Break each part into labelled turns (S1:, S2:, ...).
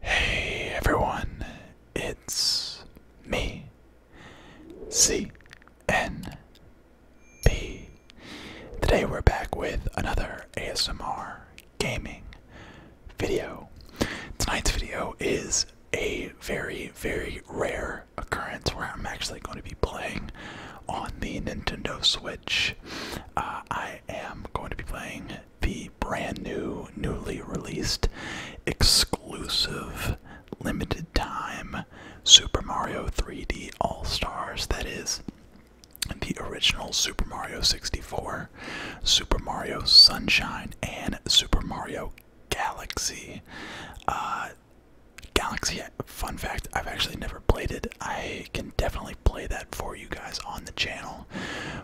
S1: Hey everyone, it's me, CNB. Today we're back with another ASMR gaming video. Tonight's video is a very, very rare occurrence where I'm actually going to be playing on the Nintendo Switch. Uh, I am going to be playing the brand new, newly released, exclusive, limited time Super Mario 3D All Stars. That is the original Super Mario 64, Super Mario Sunshine, and Super Mario Galaxy. Uh, Galaxy, fun fact, I've actually never played it. I can definitely play that for you guys on the channel.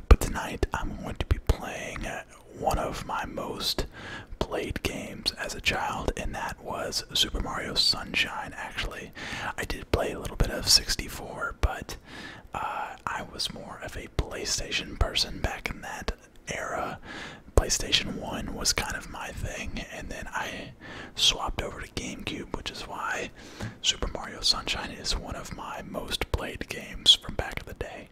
S1: But tonight I'm going to be playing one of my most played games as a child, and that was Super Mario Sunshine. Actually, I did play a little bit of 64, but uh, I was more of a PlayStation person back in that era. PlayStation 1 was kind of my thing, and then I swapped over to GameCube, which is why Super Mario Sunshine is one of my most played games from back in the day.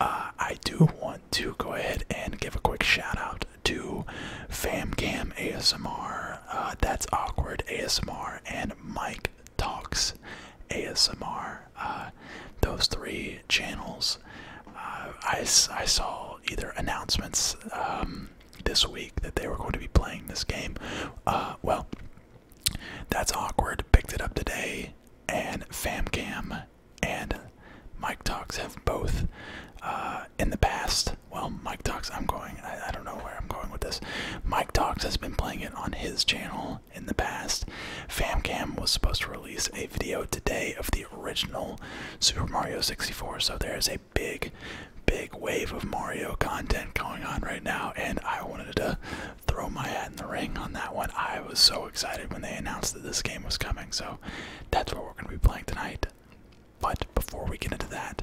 S1: Uh, I do want to go ahead and give a quick shout out to FamCam ASMR, uh, That's Awkward ASMR, and Mike Talks ASMR. Uh, those three channels, I, I saw either announcements um, this week that they were going to be playing this game. well, that's awkward. Picked it up today, and FamCam and Mike Talks have both uh, in the past. Well, Mike Talks, I'm going, I don't know where I'm going with this. Mike Talks has been playing it on his channel in the past. FamCam was supposed to release a video today of the original Super Mario 64, so there's a big big wave of Mario content going on right now, and I wanted to throw my hat in the ring on that one. I was so excited when they announced that this game was coming, so that's what we're going to be playing tonight. But before we get into that,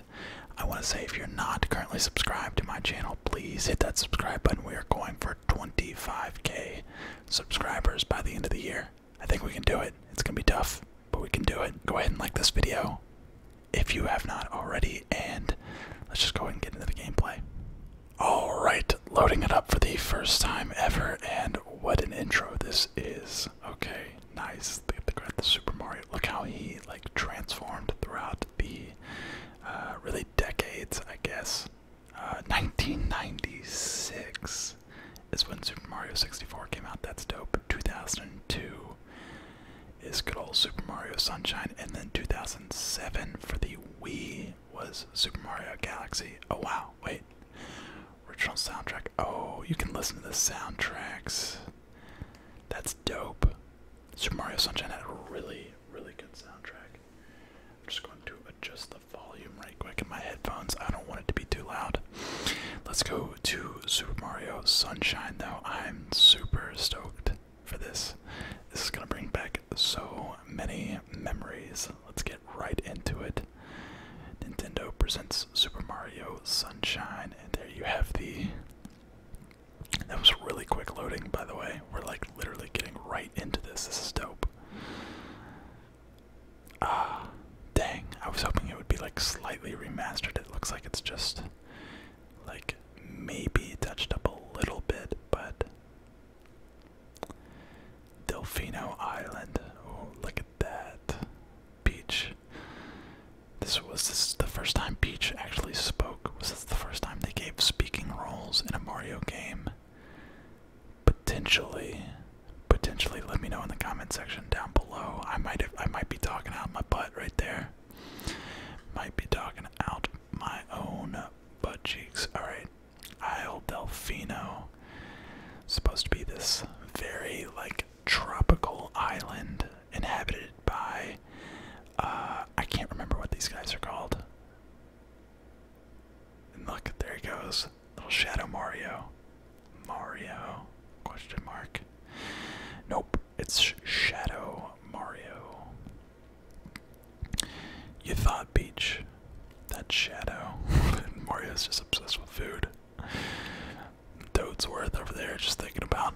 S1: I want to say if you're not currently subscribed to my channel, please hit that subscribe button. We are going for 25k subscribers by the end of the year. I think we can do it. It's going to be tough, but we can do it. Go ahead and like this video if you have not already, and let's just go ahead and get into the gameplay. Alright, loading it up for the first time ever, and what an intro this is. Okay, nice. Look at the, Super Mario. Look how he like transformed throughout the uh, really decades, I guess. Uh, 1996 is when Super Mario 64 came out. That's dope. 2002, is good old Super Mario Sunshine, and then 2007 for the Wii was Super Mario Galaxy. Oh wow, wait. Original soundtrack. Oh, you can listen to the soundtracks. That's dope. Super Mario Sunshine had a really, really good soundtrack. I'm just going to adjust the volume right quick in my headphones. I don't want it to be too loud. Let's go to Super Mario Sunshine, though. I'm super stoked for this. This is going to bring back so many memories. Let's get right into it. Nintendo presents Super Mario Sunshine, and there you have the. That was really quick loading, by the way. We're like literally getting right into this. This is dope. Ah, dang. I was hoping it would be like slightly remastered. It looks like it's just like maybe touched up a little bit, but Delfino Island. Oh, look at that beach. This was the first time Peach actually spoke. Was this the first time they gave speaking roles in a Mario game? Potentially, potentially. Let me know in the comment section down below. I might have, I might be talking out my butt right there here. Might be talking out my own butt cheeks. Alright. Isle Delfino. Supposed to be this very like tropical island inhabited by uh I can't remember what these guys are called. look, there he goes. Little Shadow Mario. Mario question mark. Nope. It's Shadow Mario. You thought beach. that Shadow. Mario is just obsessed with food. Toadsworth over there just thinking about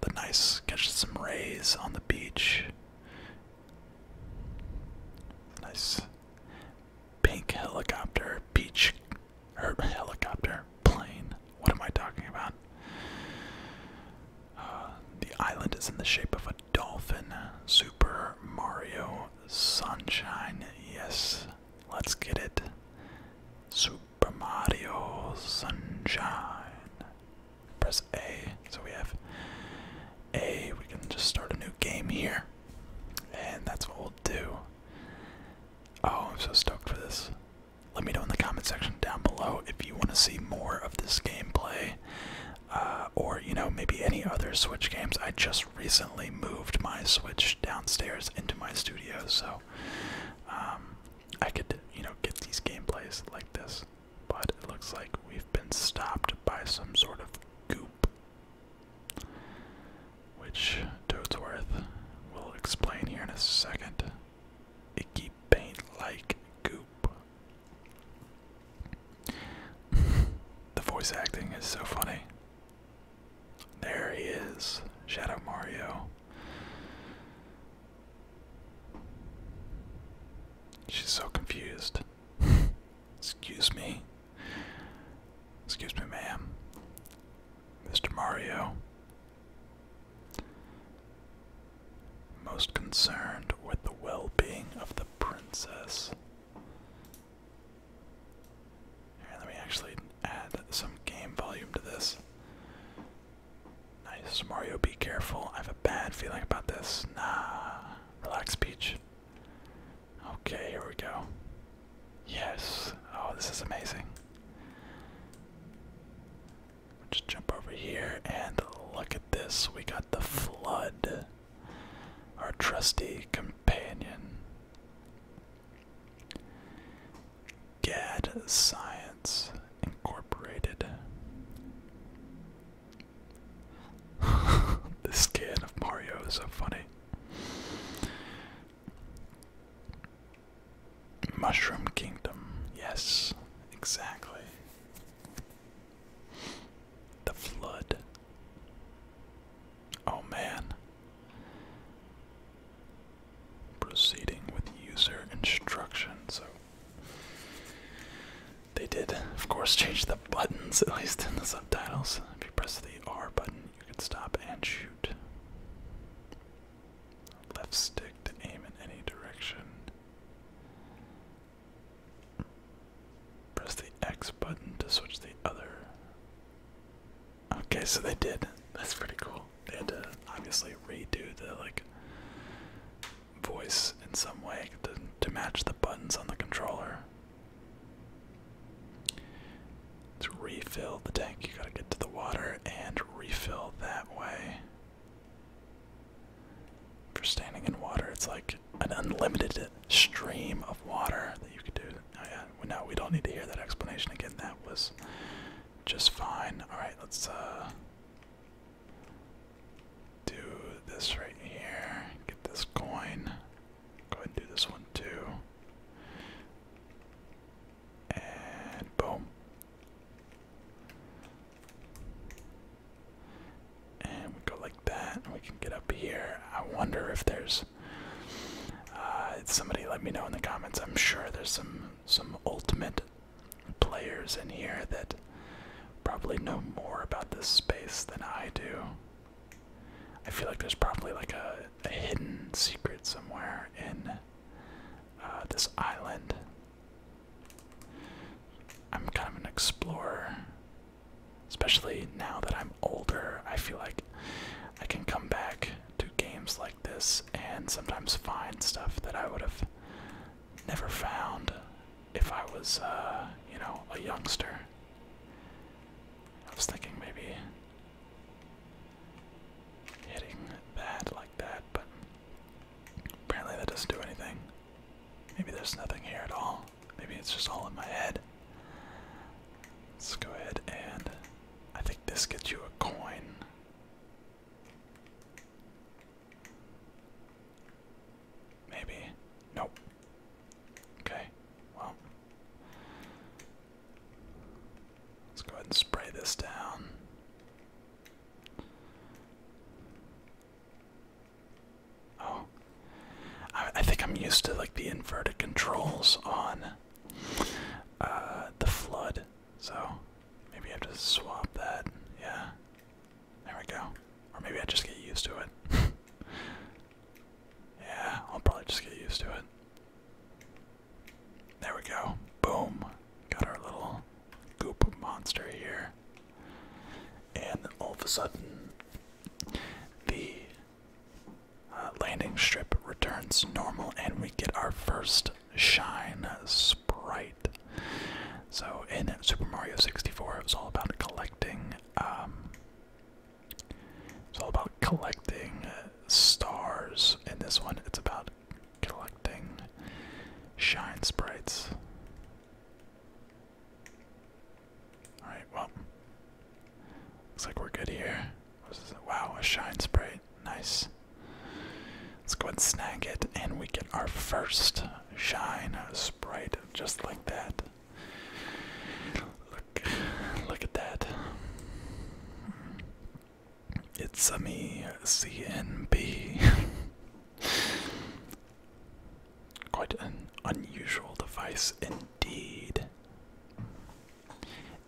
S1: the nice, catching some rays on the beach. Nice pink helicopter, beach her helicopter, plane. What am I talking about? Uh, the island is in the shape of a dolphin. Super Mario Sunshine. Yes, let's get it. Super Mario Sunshine. Press A. So we have A. We can just start a new game here. And that's what we'll do. Oh, I'm so stoked for this let me know in the comment section down below if you want to see more of this gameplay uh, or you know maybe any other switch games i just recently moved my switch downstairs into my studio so um, i could you know get these gameplays like this but it looks like we've been stopped by some sort of goop which Toadsworth will explain here in a second. Icky paint like goop. the voice acting is so funny. There he is, Shadow Mario. She's so confused. Excuse me. Excuse me, ma'am. Mr. Mario, most concerned with the well being of the princess. let me actually add some game volume to this. Nice, Mario, be careful. I have a bad feeling about this. Nah. Relax, Peach. Okay, here we go. Yes. Oh, this is amazing. Just jump over here and look at this. We got the flood. Our trusty companion. Gad Science Incorporated. this kid of Mario is so funny. Mushroom Kingdom. Yes, exactly. The flood. Oh man. Proceeding with user instructions. So they did, of course, change the buttons, at least in the subtitles. If you press the R button, you can stop and shoot. Left stick to aim in any direction. Press the X button to switch the other. Okay, so they did. That's pretty cool. They had to obviously redo the like voice in some way to, to match the buttons on the controller to refill the tank, you gotta get to the water and refill that way. For standing in water, it's like an unlimited stream of water that you could do. Oh yeah, no, we don't need to hear that explanation again. That was just fine. All right, let's uh, do this right here. Get this coin. Go ahead and do this one too. And boom. And we go like that, we can get up here. I wonder if there's. Uh, somebody let me know in the comments. I'm sure there's some some ultimate players in here that probably know more about this space than I do. I feel like there's probably like a a hidden secret somewhere in uh, this island. I'm kind of an explorer, especially now that I'm older. I feel like I can come back to games like this and sometimes find stuff that I would have never found if I was, uh, you know, a youngster. I was thinking maybe hitting that like that, but apparently that doesn't do anything. Maybe there's nothing here at all. Maybe it's just all in my head. Let's go ahead and I think this gets you a coin. Maybe. Nope. Okay. Well, Let's go ahead and spray this down. Oh, I, think I'm used to like the inverted controls on uh, the flood, so maybe I have to swap that. Yeah, there we go. Or maybe I just get used to it. yeah, I'll probably just get used to it. There we go. Boom. Got our little goop monster here. And then all of a sudden, the uh, landing strip returns normal, and we get our first shine sprite. So in Super Mario 64, it was all about collecting um, it's all about collecting uh, stars. In this one, it's about collecting shine sprites. Alright, well. Looks like we're good here. Wow, a shine sprite. Nice. Let's go ahead and snag it, and we get our first shine sprite just like that. Look at that. It's a me CNB. Quite an unusual device indeed.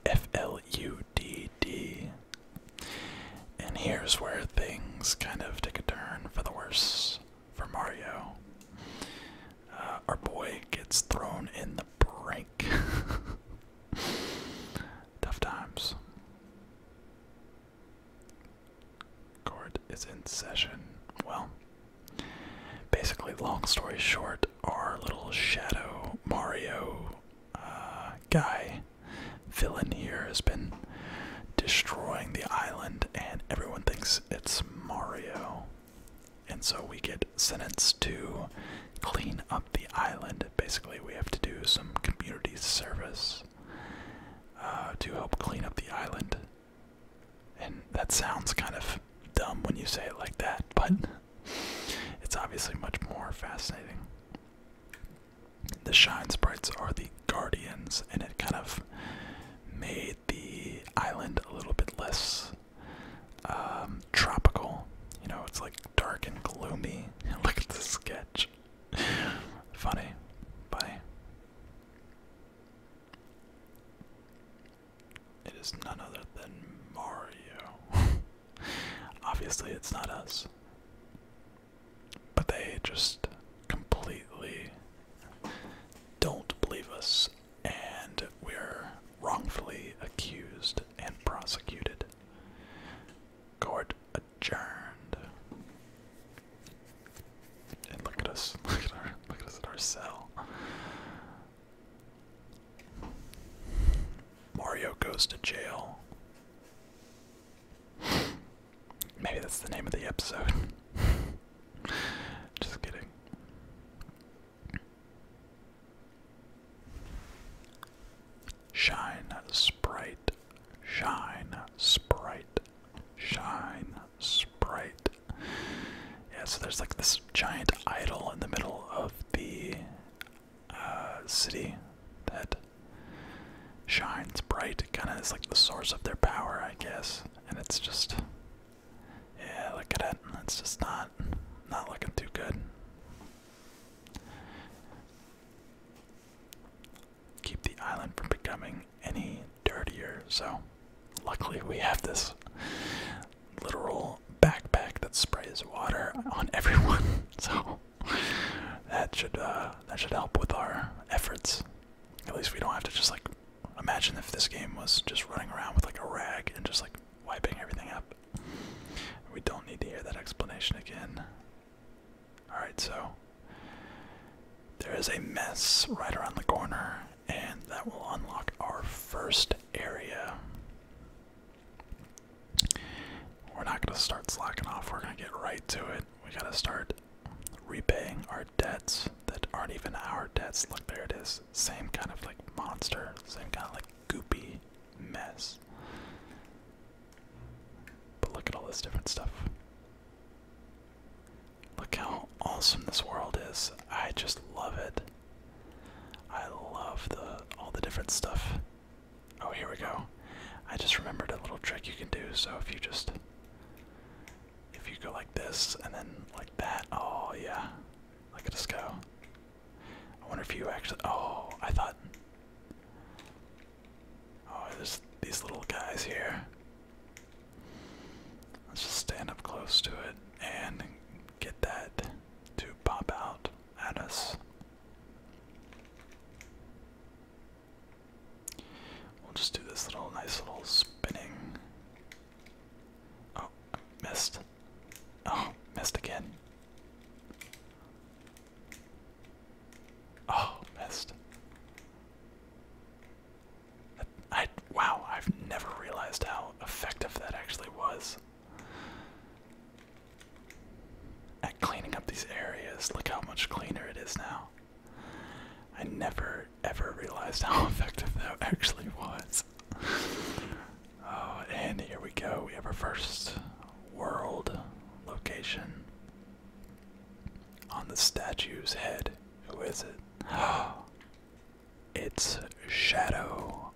S1: FLUDD. And here's where things kind of take a turn for the worse for Mario. Uh, our boy gets thrown in the brink. Tough times. Court is in session. Well, basically, long story short, our little Shadow Mario uh, guy, villain here, has been destroying the island, and everyone thinks it's Mario. And so we get sentenced to clean up the island. Basically, we have to do some community service uh, to help clean up the island. And that sounds kind of dumb when you say it like that, but it's obviously much more fascinating. The Shine Sprites are the guardians, and it kind of made the island a little bit less um, tropical. You know, it's like dark and gloomy. Look at this sketch. Funny. Bye. It is none other than Mario. Obviously, it's not us. But they just completely don't believe us and we're wrongfully accused and prosecuted. Court adjourned. And look at us. Look at our look at us at our cell. Mario goes to jail. Maybe that's the name of the episode. Just kidding. Shine, Sprite, Shine, Sprite, Shine, Sprite. Yeah, so there's like this giant idol in the middle of the uh, city that shines bright. Kind of is like the source of their power, I guess. And it's just yeah, look at it. It's just not not looking too good. Keep the island from becoming any dirtier. So, luckily we have this literal backpack that sprays water on everyone. So that should uh, that should help with our efforts. At least we don't have to just like Imagine if this game was just running around with like a rag and just like wiping everything up. We don't need to hear that explanation again. Alright, so there is a mess right around the corner, and that will unlock our first area. We're not going to start slacking off, we're going to get right to it. We got to start repaying our debts that aren't even our debts. Look, there it is same kind of like monster, same kind of like goopy mess. But look at all this different stuff. Look how awesome this world is. I just love it. I love the all the different stuff. Oh, here we go. I just remembered a little trick you can do. So if you just if you go like this and then like that, oh yeah. Look at us go. I wonder if you actually. Oh, I thought. Oh, there's these little guys here. Let's just stand up close to it and get that to pop out at us. We'll just do this little nice little spinning Oh, missed. Oh, missed again. Oh, missed. I wow, I've never realized how effective that actually was. At cleaning up these areas, look how much cleaner it is now. I never ever realized how effective that actually was. Oh, and here we go. We have our first world location on the statue's head. Who is it? it's Shadow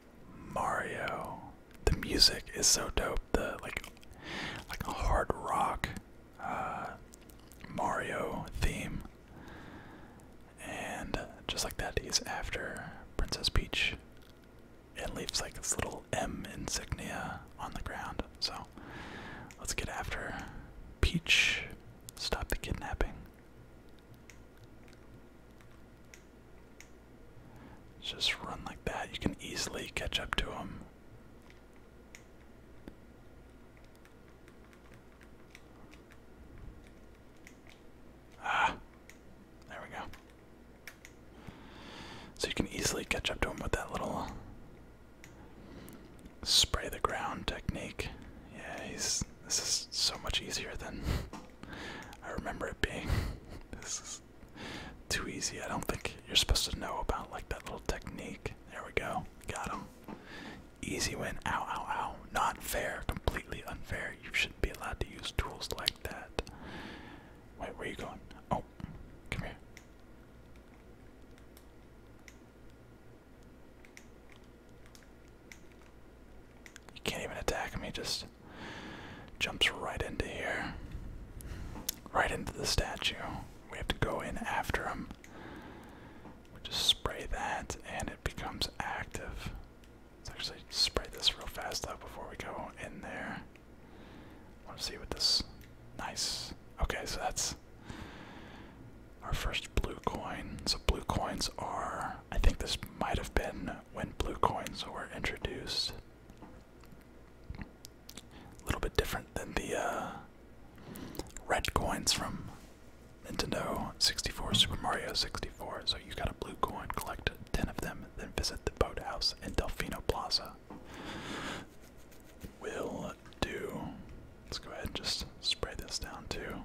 S1: Mario. The music is so dope. The like, like hard rock uh, Mario theme. And just like that, he's after Princess Peach. It leaves like this little M insignia on the ground. So let's get after Peach. Stop the kidnapping. Just run like that. You can easily catch up to him. Ah, there we go. So you can easily catch up to him with that little spray the ground technique. Yeah, he's. This is so much easier than I remember it being. This is too easy. I don't think you're supposed to know about like that little technique. There we go. Got him. Easy win. Ow, ow, ow. Not fair. Completely unfair. You shouldn't be allowed to use tools like that. Wait, where are you going? Oh, come here. You can't even attack him. He just jumps right into here. Right into the statue. We have to go in after him. We just spray that and it becomes active. Let's actually spray this real fast though before we go in there. I want to see what this. Nice. Okay, so that's our first blue coin. So blue coins are. I think this might have been when blue coins were introduced. A little bit different than the uh, red coins from Nintendo 64, Super Mario 64. So you got a blue coin, collect 10 of them, then visit the boathouse in Delfino Plaza. Will do. Let's go ahead and just spray this down too.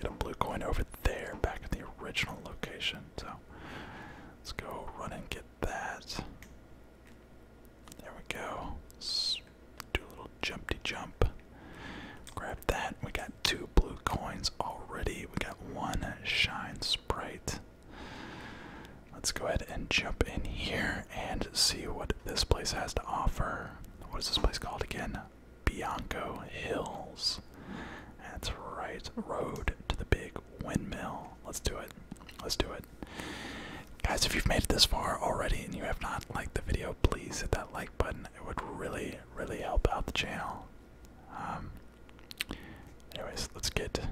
S1: Get a blue coin over there, back in the original location. So let's go run and get that. There we go do a little jumpy jump. Grab that. We got two blue coins already. We got one shine sprite. Let's go ahead and jump in here and see what this place has to offer. What is this place called again? Bianco Hills. That's right. Road to the big windmill. Let's do it. Let's do it. Guys, if you've made it this far already and you have not liked the video, please hit that like like button. It would really, really help out the channel. Um, anyways, let's get to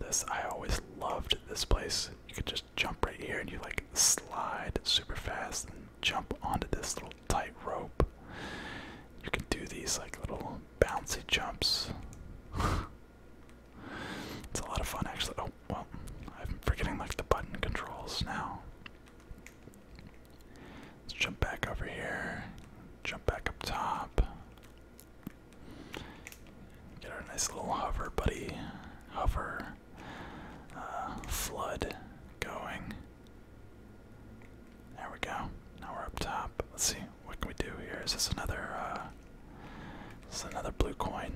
S1: this. I always loved this place. You could just jump right here and you like slide super fast and jump onto this little tight rope. You can do these like little bouncy jumps. it's a lot of fun actually. Oh, well, I'm forgetting like the button controls now. Let's jump back over here. Jump back up top. Get our nice little hover buddy, hover, uh, flood going. There we go. Now we're up top. Let's see what can we do here. Is this another? Uh, is this another blue coin?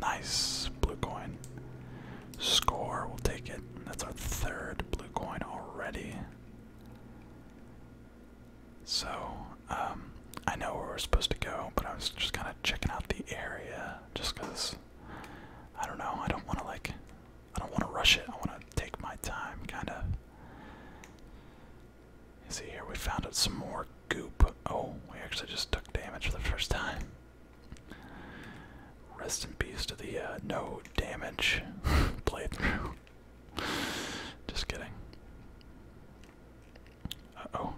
S1: Nice blue coin. Score, we'll take it. That's our third blue coin already. So, um, I know where we're supposed to go, but I was just kind of checking out the area just because I don't know. I don't want to, like, I don't want to rush it. I want to take my time, kind of. See here, we found out some more goop. Oh, we actually just took damage for the first time. Rest in peace to the uh, no damage playthrough. Just kidding. Uh oh,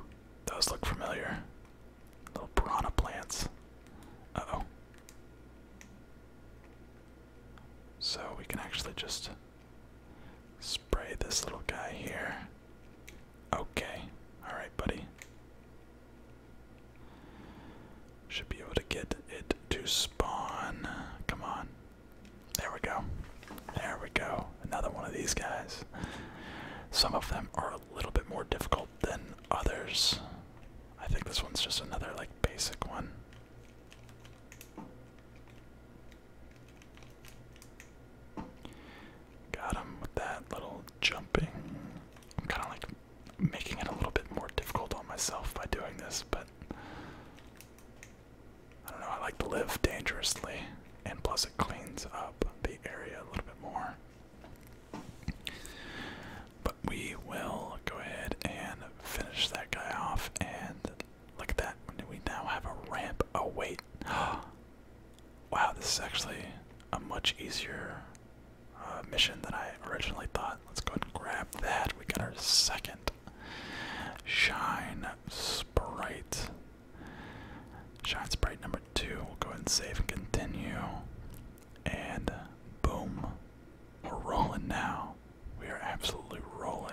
S1: those look familiar. Little piranha plants. Uh oh. So we can actually just Spray this little guy here. Okay. Alright, buddy. Should be able to get it to spawn. Come on. There we go. There we go. Another one of these guys. Some of them are a little bit more difficult than others. I think this one's just another, like, basic one. Got him with that little jumping. I'm kind of like making it a little bit more difficult on myself by doing this, but I don't know. I like to live dangerously, and plus it cleans up the area a little bit more. But we will go ahead and finish that guy off and Look at that. We now have a ramp. Oh, wait. wow, this is actually a much easier uh, mission than I originally thought. Let's go and grab that. We got our second Shine Sprite. Shine Sprite number two. We'll go ahead and save and continue. And boom. We're rolling now. We are absolutely rolling.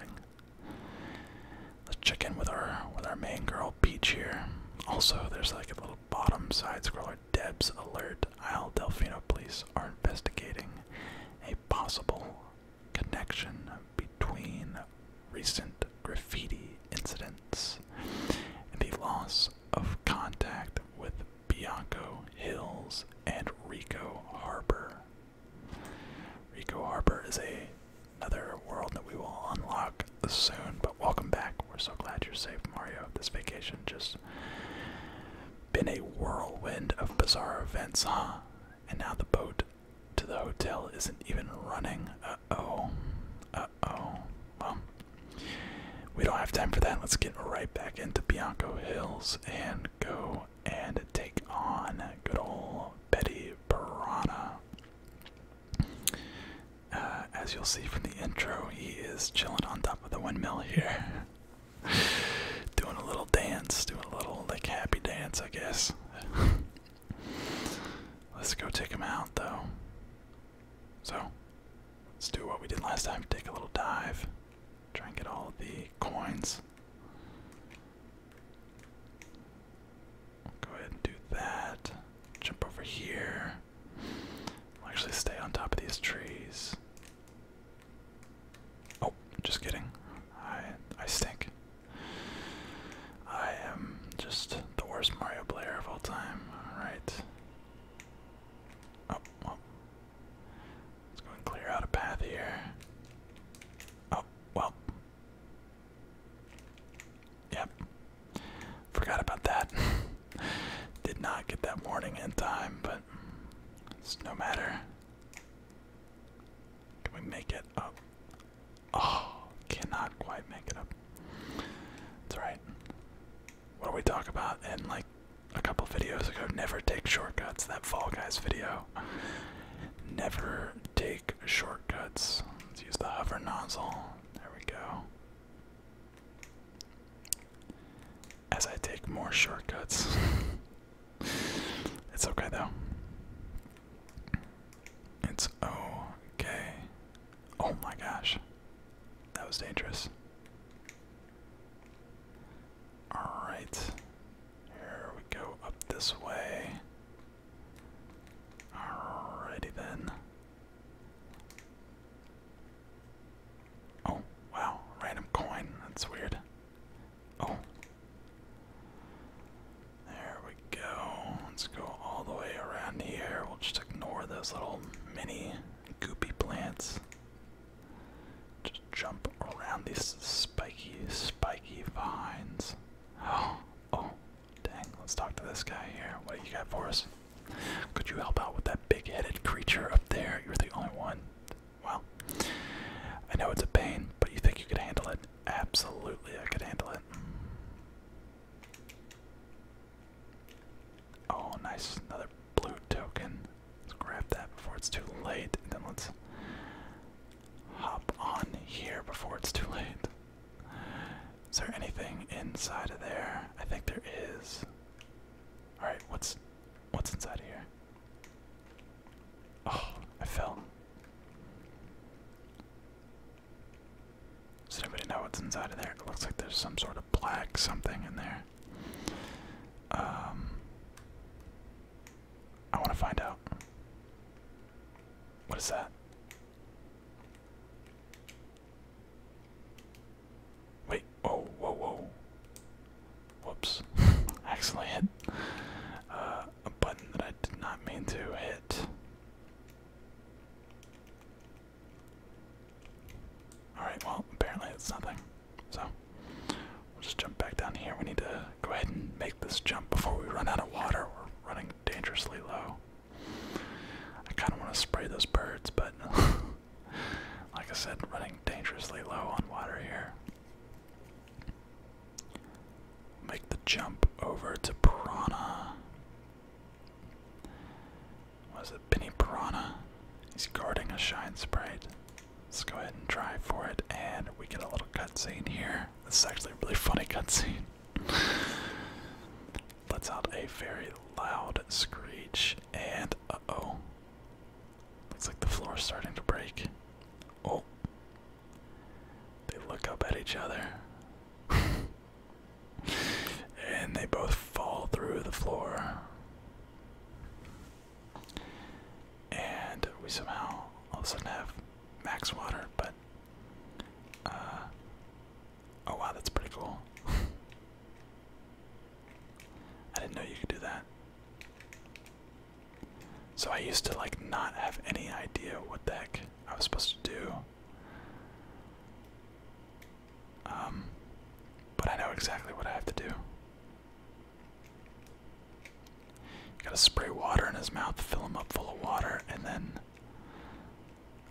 S1: Let's check in with our with our main girl Peach here. Also, there's like a little bottom side scroller. Debs alert. Isle Delfino police are investigating a possible connection between recent graffiti incidents and the loss of contact with Bianco Hills and Rico Harbor Rico Harbor is a another world that we will unlock soon, but welcome back. We're so glad you're safe, Mario. This vacation just been a whirlwind of bizarre events, huh? And now the boat to the hotel isn't even running. Uh-oh. Uh-oh. Well, we don't have time for that. Let's get right back into Bianco Hills and go and take on good old Betty Burana. Uh, as you'll see from the intro, he is chilling on top of the windmill here. doing a little dance, doing a little like happy dance, I guess. let's go take him out though. So, let's do what we did last time take a little dive, try and get all the coins. Go ahead and do that. Jump over here. I'll actually stay on top of these trees. Oh, just kidding. I I stink. I am just the worst Mario player of all time. Alright. Oh, Let's go and clear out a path here. Oh, well. Yep. Forgot about that. Did not get that warning in time, but it's no matter. Can we make it up? Oh, cannot quite make it up. It's alright. What do we talk about in like a couple videos ago? Never take shortcuts. That Fall Guys video. Never take shortcuts. Let's use the hover nozzle. There we go. As I take more shortcuts. it's okay though. It's okay. Oh my gosh. That was dangerous. Alright. Here we go up this way. Alrighty then. Oh, wow, random coin. That's weird. Oh. There we go. Let's go all the way around here. We'll just ignore those little mini goopy plants. Just jump around these spiky, spiky vines. Oh, oh, dang. Let's talk to this guy here. What do you got for us? Could you help out with that big headed creature up there? You're the only one. Well, I know it's a pain, but you think you could handle it? Absolutely, I could handle it. Oh, nice. Another blue token. Let's grab that before it's too late, and then let's hop on here before it's too late. Is there anything inside of there? I think there is. Alright, what's what's inside of here? Oh, I fell. Does anybody know what's inside of there? It looks like there's some sort of black something in there. Um I want to find out. What is that? Wait, oh, whoa, whoa. Whoops. accidentally hit uh, a button that I did not mean to hit. Alright, well, apparently it's nothing. So we'll just jump back down here. We need to go ahead and make this jump before we run out of water. We're running dangerously low. I kind of want to spray those birds, but like I said, running dangerously low on water here. Make the jump over to Piranha. Was it Penny Piranha? He's guarding a shine sprite. Let's go ahead and try for it, and we get a little cutscene here. This is actually a really funny cutscene. Let's out a very loud screech, and uh oh. Looks like the floor is starting to break. Oh. They look up at each other. and they both fall through the floor. And we somehow all of a sudden have max water, but uh, oh wow that's pretty cool. I didn't know you could do that. So I used to like not have any idea what the heck I was supposed to do. Um but I know exactly what I have to do gotta spray water in his mouth, fill him up full of water, and then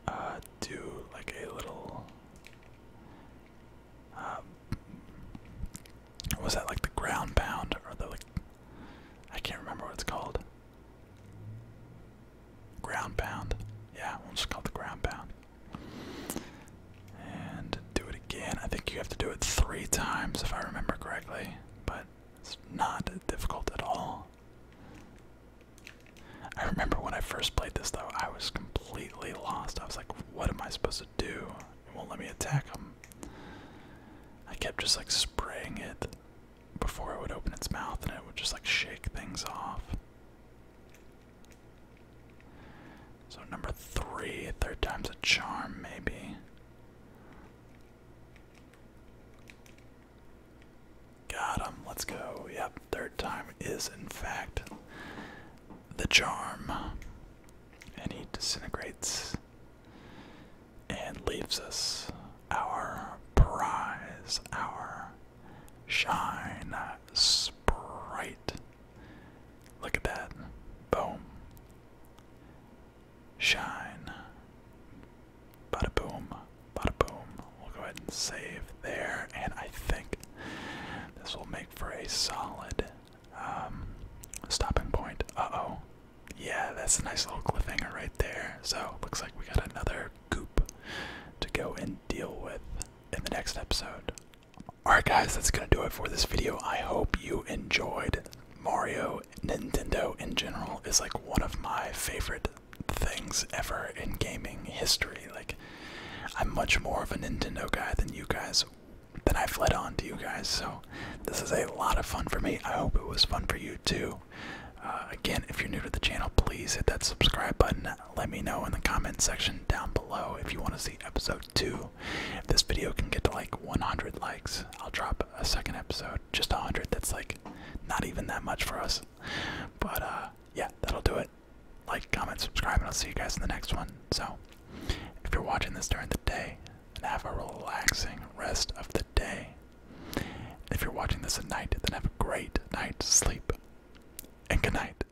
S1: uh, do like a little. Uh, was that like the ground pound or the like? I can't remember what it's called. Ground pound. Yeah, we'll just call it the ground pound. And do it again. I think you have to do it three times if I remember correctly, but it's not difficult at all. I remember when I first played this though, I was completely lost. I was like, what am I supposed to do? won't let me attack him. I kept just like spraying it before it would open its mouth and it would just like shake things off. So number three, third time's a charm, maybe. Got him. Let's go. Yep, third time is in fact the charm. And he disintegrates and leaves us our prize, our shine sprite. Look at that. Boom. Shine. Bada boom. Bada boom. We'll go ahead and save there. And I think this will make for a solid um, stopping point. Uh oh. Yeah, that's a nice little cliffhanger right there. So, looks like we got another goop to go and deal with in the next episode. Alright, guys, that's going to do it for this video. I hope you enjoyed. Mario, Nintendo in general, is like one of my favorite things ever in gaming history. Like, I'm much more of a Nintendo guy than you guys, than I've led on to you guys. So, this is a lot of fun for me. I hope it was fun for you too. Uh, again, if you're new to the channel, please hit that subscribe button. Let me know in the comment section down below if you want to see episode 2 if this video can get to like 100 likes, I'll drop a second episode. Just 100. That's like not even that much for us. But uh, yeah, that'll do it. Like, comment, subscribe, and I'll see you guys in the next one. So if you're watching this during the day, and have a relaxing rest of the day. If you're watching this at night, then have a great night's sleep. And good night.